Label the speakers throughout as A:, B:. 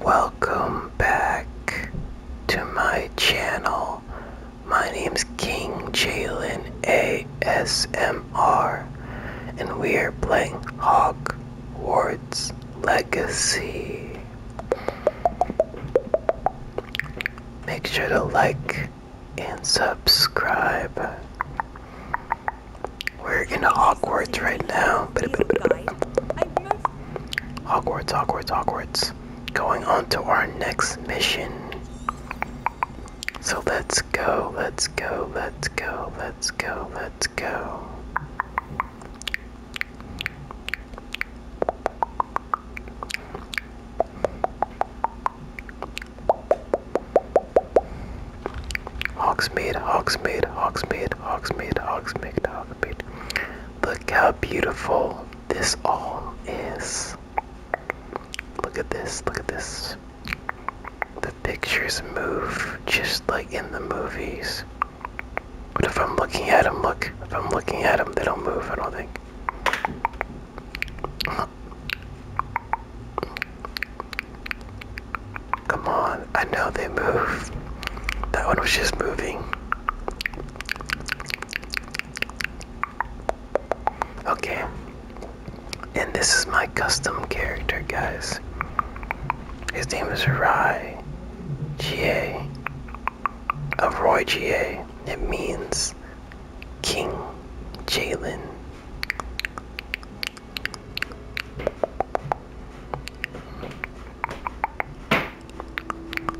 A: Welcome back to my channel. My name's King Jalen ASMR and we are playing Hogwarts Legacy. Make sure to like and subscribe. We're in a Awkwards right now. Hogwarts, Hogwarts, Hogwarts. Going on to our next mission. So let's go, let's go, let's go, let's go, let's go. Hogsmeade, Hogsmeade, Hogsmeade, Ox ox Hogsmeade, ox Hogsmeade. Look how beautiful this all is. Look at this, look at this. The pictures move just like in the movies. But if I'm looking at them, look, if I'm looking at them, they don't move, I don't think. Come on, I know they move. That one was just moving. Okay. And this is my custom character, guys. His name is Rai GA of Roy GA. It means King Jalen.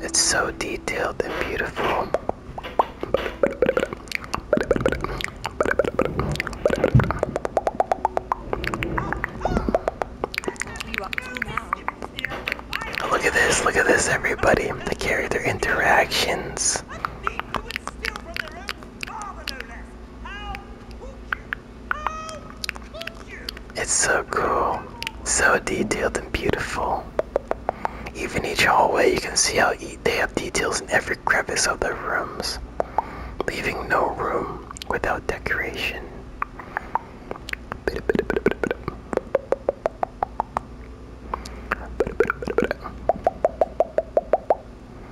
A: It's so detailed and beautiful. Look at this, look at this, everybody. The character interactions. It's so cool, so detailed and beautiful. Even each hallway, you can see how they have details in every crevice of the rooms, leaving no room without decoration.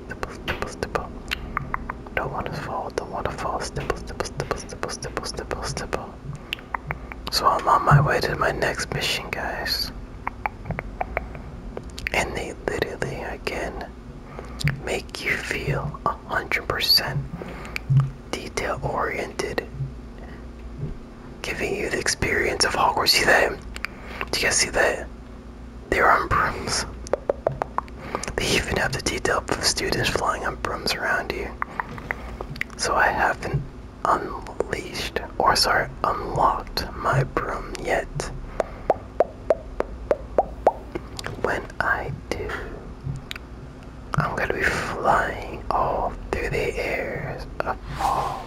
A: stipple, stipple, stipple. Don't wanna fall, don't wanna fall, stipple, stipple, stipple, stipple, stipple, stipple, stipple. So I'm on my way to my next mission, guys. And they literally again make you feel a hundred percent detail oriented, giving you the experience of Hogwarts. See that? Do you guys see that? They're on brooms. They even have the detail of students flying on brooms around you. So I haven't unleashed, or sorry, unlocked my broom yet. When I do, I'm gonna be flying all through the air of all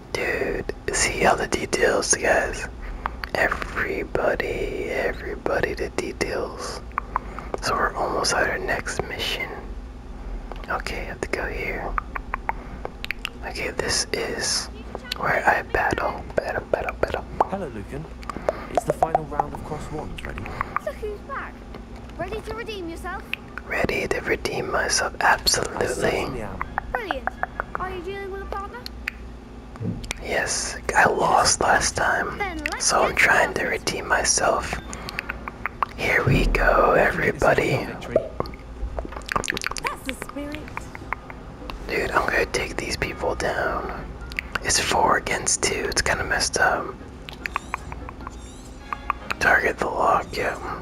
A: Dude, see all the details, guys. Everybody, everybody, the details. So we're almost at our next mission. Okay, I have to go here. Okay, this is where I battle, battle, battle, battle.
B: Hello, Lucan. It's the final round
A: of Cross Ones ready.
B: So who's back? Ready to redeem yourself?
A: Ready to redeem myself, absolutely.
B: Brilliant. Are you dealing with a partner? Yes, I lost last time, so I'm trying to redeem
C: myself. Here we go, everybody.
A: Dude, I'm gonna take these people down. It's four against two, it's kinda messed up. Target the lock, yeah.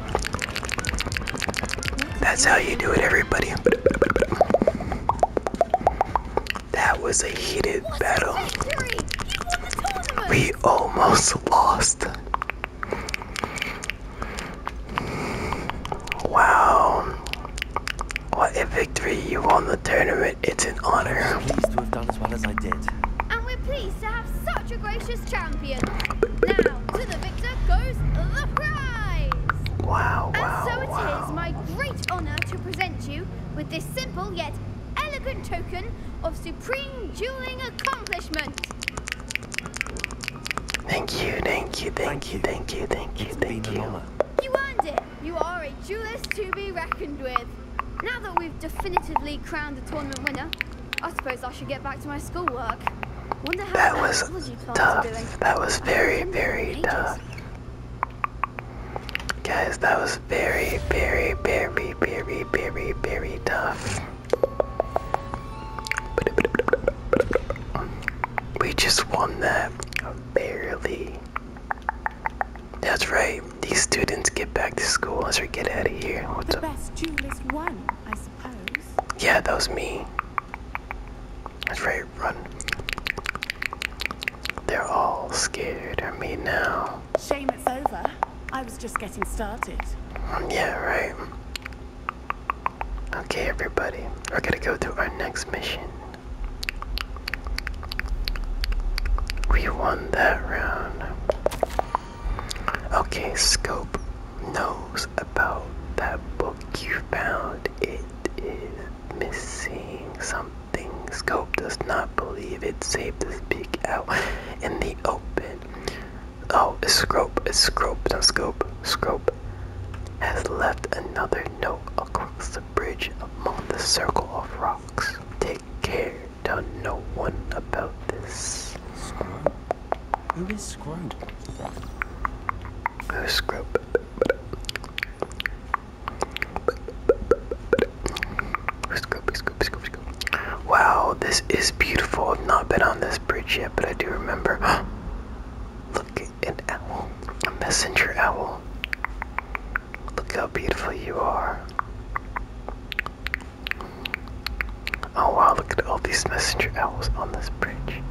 A: That's how you do it, everybody. That was a heated battle. We almost lost.
B: Wow. What a victory. You won the tournament. It's an honor. I'm pleased to have done as well as I did champion. Now, to the victor goes the prize! Wow, wow And so it wow. my great honour to present you with this simple yet elegant token of supreme dueling accomplishment.
A: Thank you, thank you, thank you, thank you, thank you, you.
B: earned it. You are a duelist to be reckoned with. Now that we've definitively crowned the tournament winner, I suppose I should get back to my schoolwork. Wonder how that was
A: tough. That was very, very tough. Guys, that was very, very, very, very, very, very tough. We just won that barely. That's right. These students get back to school as we get out of here. What's up?
C: best jewel is one, I suppose.
A: Yeah, that was me. That's right, run. They're all scared of me now.
B: Shame it's over. I was just getting started.
A: Mm, yeah, right. Okay, everybody. We're gonna go to our next mission. We won that round. Okay, Scope knows about that book you found. It is missing something. Scope does not believe it's safe to speak out in the open. Oh, Scrope, Scrope, not Scope, Scrope has left another note across the bridge among the circle of rocks. Take care, tell no one about this. Who is Scrope? Who's Scrope? Scrope, Scrope, Scrope, Scrope. Wow, this is beautiful. I've not been on this bridge yet, but I do remember. Look, an owl. A messenger owl. Look how beautiful you are. Oh wow, look at all these messenger owls on this bridge.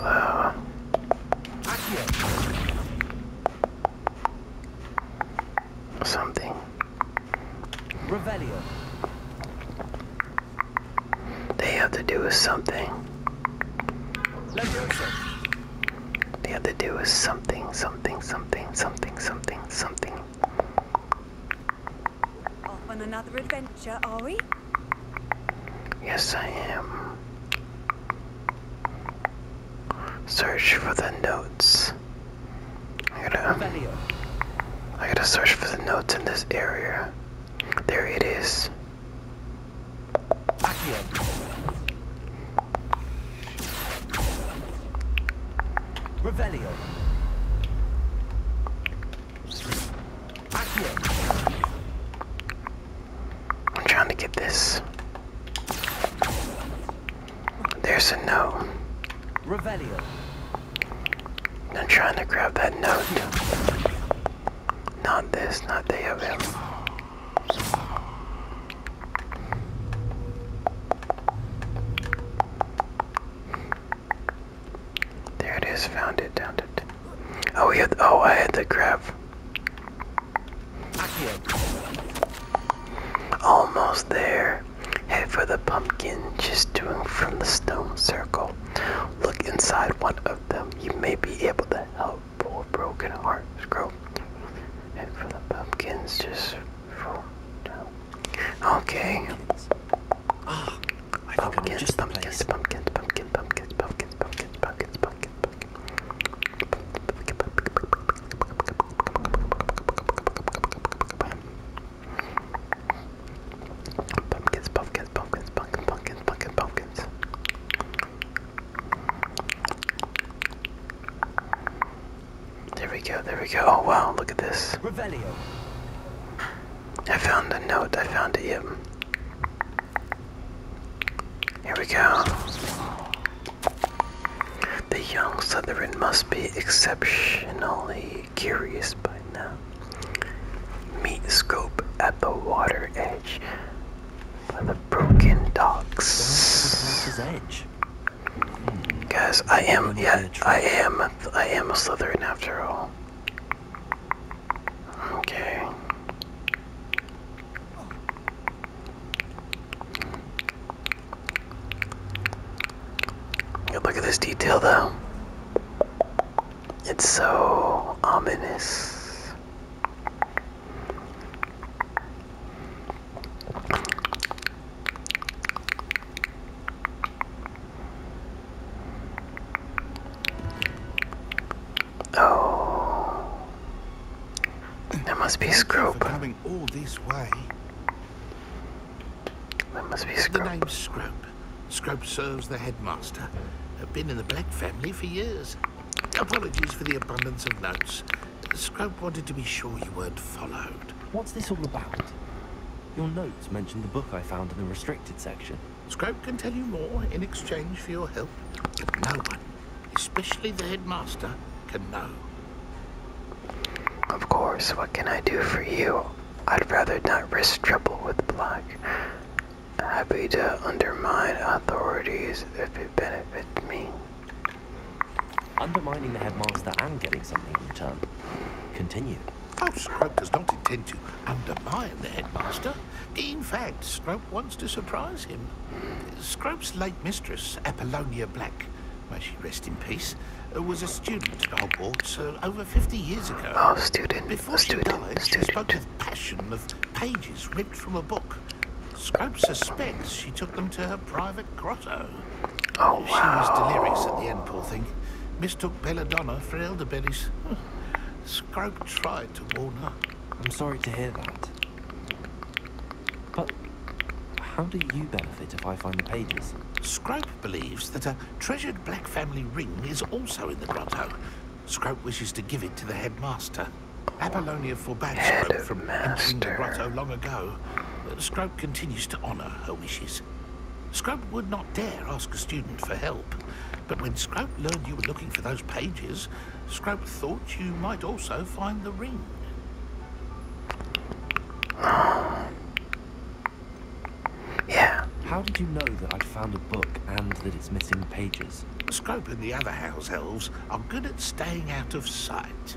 A: Uh something. Revelio. They have to do with something. They have to do with something, something, something, something, something, something.
B: Off on another adventure, are we?
A: Yes, I am search for the notes. I gotta, I gotta search for the notes in this area. There it is. Revelio. I'm trying to get this. There's a note. Revelio. I'm trying to grab that note. Not this, not the of him. There it is, found it, found it. Oh, we had, oh, I had to grab Almost there. Head for the pumpkin just doing from the stone circle. Look inside one of them. You may be able to help poor broken hearts grow. Head for the pumpkins just Okay. Ah, pumpkins, pumpkins, pumpkins, pumpkins, pumpkins, pumpkins, pumpkins, pumpkins, pumpkins, Pumpkins, pumpkins, pumpkins, pumpkins, pumpkins, pumpkins, pumpkins. There we go, there we go. Oh wow, look at this. Revelio. I found the note, I found it, yep. Here we go. The young Southron must be exceptionally curious by now. Meet Scope at the water edge by the broken docks. edge. Guys, I am yeah, I am I am a Slytherin after all. Okay. Look at this detail though. It's so ominous.
C: Oh, there must be a Scrope. Coming all this way. The name's Scrope. Scrope serves the headmaster. I've been in the Black family for years. Apologies for the abundance of notes. Scrope wanted to be sure you weren't followed. What's this all about? Your notes mentioned the book I found in the restricted section. Scrope can tell you more in exchange for your help, but no one especially the headmaster, can know.
A: Of course, what can I do for you? I'd rather not risk trouble with Black. Happy to undermine authorities if it benefits me.
C: Undermining the headmaster and getting something in return. Continue. Oh, Scrub does not intend to undermine the headmaster. In fact, Scrope wants to surprise him. Scrope's late mistress, Apollonia Black, may she rest in peace, was a student at Hogwarts So uh, over 50 years ago. Oh, student. Before student, she died, student. she spoke with passion of pages ripped from a book. Scrope suspects she took them to her private grotto. Oh, She was delirious at the end, poor thing. Mistook belladonna for elderberries. Scrope tried to warn her. I'm sorry to hear that. But how do you benefit if I find the pages? Scrope believes that a treasured black family ring is also in the grotto. Scrope wishes to give it to the headmaster. Apollonia forbade Scrope from entering the grotto long ago. but Scrope continues to honor her wishes. Scrope would not dare ask a student for help, but when Scrope learned you were looking for those pages, Scrope thought you might also find the ring. yeah. How did you know that I'd found a book and that it's missing pages? Scrope and the other house elves are good at staying out of sight.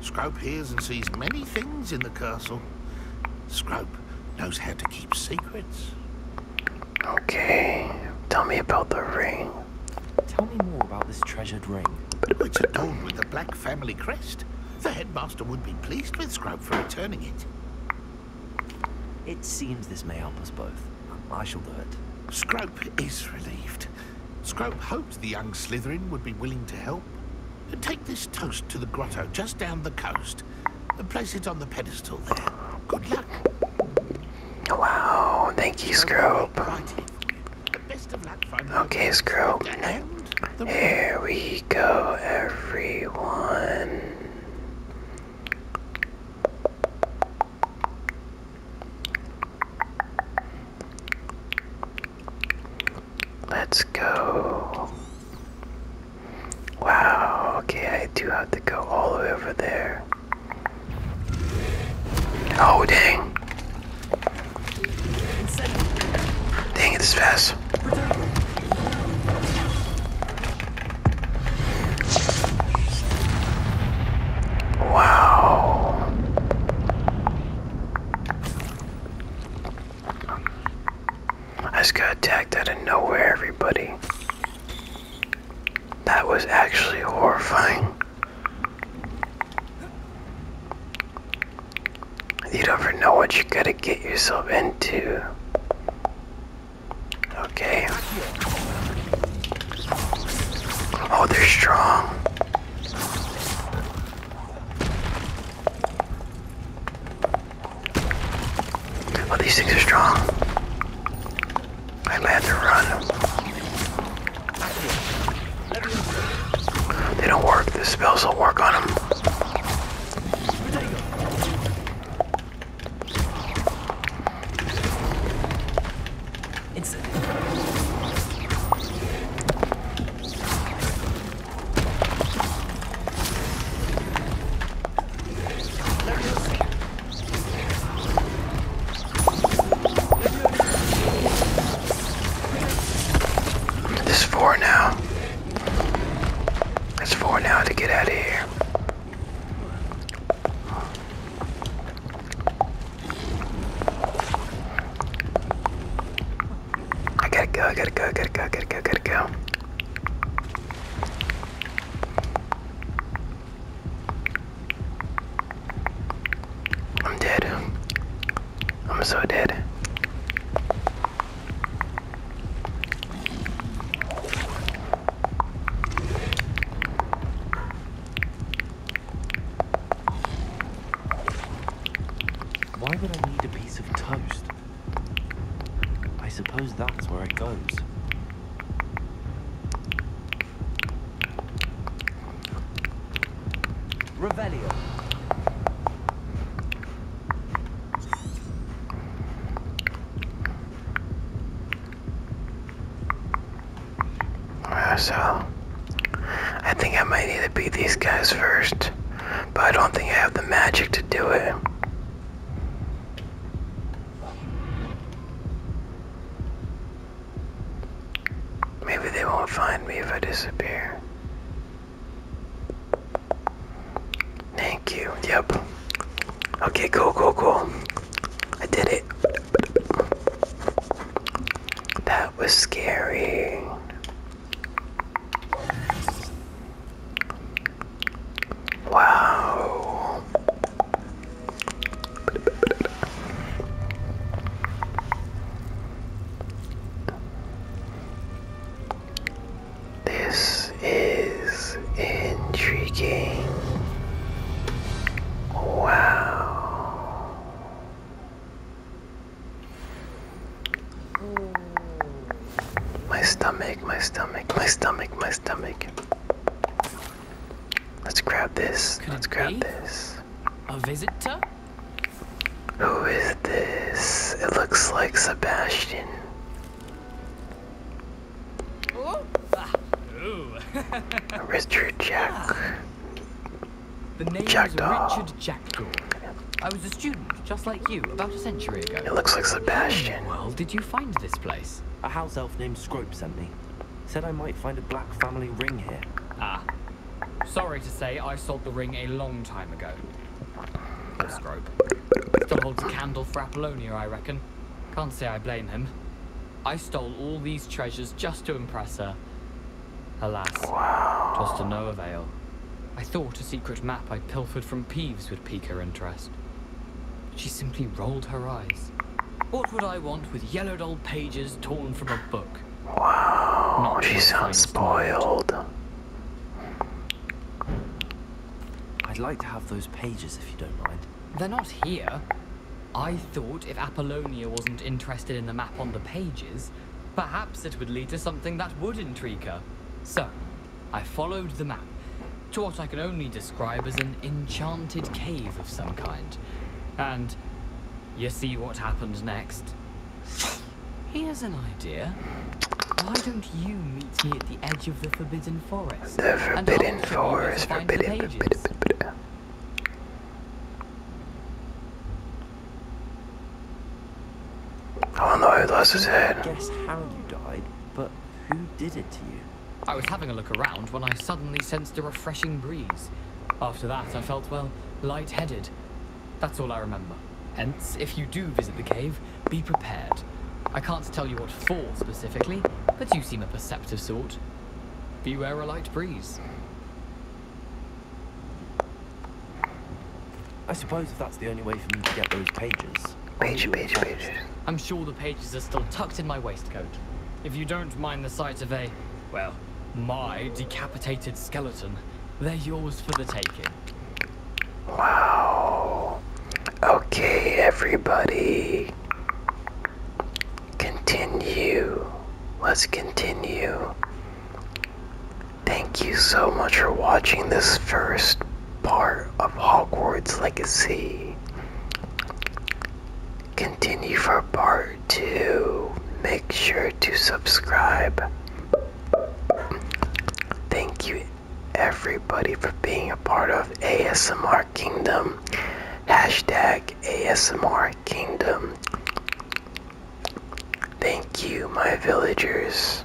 C: Scrope hears and sees many things in the castle. Scrope knows how to keep secrets. Okay, tell me about the ring. Tell me more about this treasured ring. It's adorned with the black family crest. The headmaster would be pleased with Scrope for returning it. It seems this may help us both. I shall do it. Scrope is relieved. Scrope hoped the young Slytherin would be willing to help. Take this toast to the grotto just down the coast and place it on the pedestal there. Good luck.
A: Wow, thank you, Scrope. Okay, Scrope. Here we go, everyone. Let's go. Wow, okay, I do have to go all the way over there. Oh, dang. Dang it, this fast. Wow. I just got attacked out of nowhere, everybody. That was actually horrifying. You don't ever know what you gotta get yourself into. Okay. Oh, they're strong. Oh, these things are strong. I had to run. They don't work. The spells will work on them. It's this four now. That's four now to get out of here. I gotta go, I gotta go, I gotta go, I gotta go, I gotta go. I'm dead. I'm so dead.
C: Why would I need a piece of toast? I suppose that's where it goes. Revelio. so, I think
A: I might need to beat these guys first, but I don't think I have the magic to do it. Maybe they won't find me if I disappear. Thank you. Yep. Okay, cool, cool, cool. I did it. That was scary. Wow. This is intriguing. Wow. My stomach, my stomach, my stomach, my stomach. Let's grab this. Let's grab this. A visitor? Who is this? It looks like Sebastian. Ooh. Ooh. Richard Jack. Ah.
B: The name is Richard Jackdaw. I was a student, just like you, about a century ago. It looks like Sebastian. Well, did you find this place? A house elf named Scrope sent me. Said I might find a black family ring here. Ah. Sorry to say, I sold the ring a long time ago. Poor Scrope. Still holds a candle for Apollonia, I reckon. Can't say I blame him. I stole all these treasures just to impress her. Alas, twas to no avail. I thought a secret map I pilfered from Peeves would pique her interest. She simply rolled her eyes. What would I want with yellowed old pages torn from a book?
A: Wow, Not she sounds spoiled.
B: I'd like to have those pages if you don't mind. They're not here. I thought if Apollonia wasn't interested in the map on the pages, perhaps it would lead to something that would intrigue her. So, I followed the map to what I can only describe as an enchanted cave of some kind. And you see what happened next. Here's an idea. Why don't you meet me at the edge of the Forbidden Forest? The Forbidden
A: Forest, forbidden, forbidden, forbidden.
C: Oh no, that's his head. Guess how you died, but who did it to you?
B: I was having a look around when I suddenly sensed a refreshing breeze. After that, I felt, well, light-headed. That's all I remember. Hence, if you do visit the cave, be prepared. I can't tell you what for specifically, but you seem a perceptive sort. Beware a light breeze. I suppose if that's the only way for me to get those pages,
A: pages. Page, pages.
B: I'm sure the pages are still tucked in my waistcoat. If you don't mind the sight of a, well, my decapitated skeleton, they're yours for the taking.
A: Wow. Okay, everybody. Continue. Let's continue. Thank you so much for watching this first part of Hogwarts Legacy. Continue for part 2. Make sure to subscribe. Thank you everybody for being a part of ASMR Kingdom. Hashtag ASMR Kingdom. Thank you, my villagers.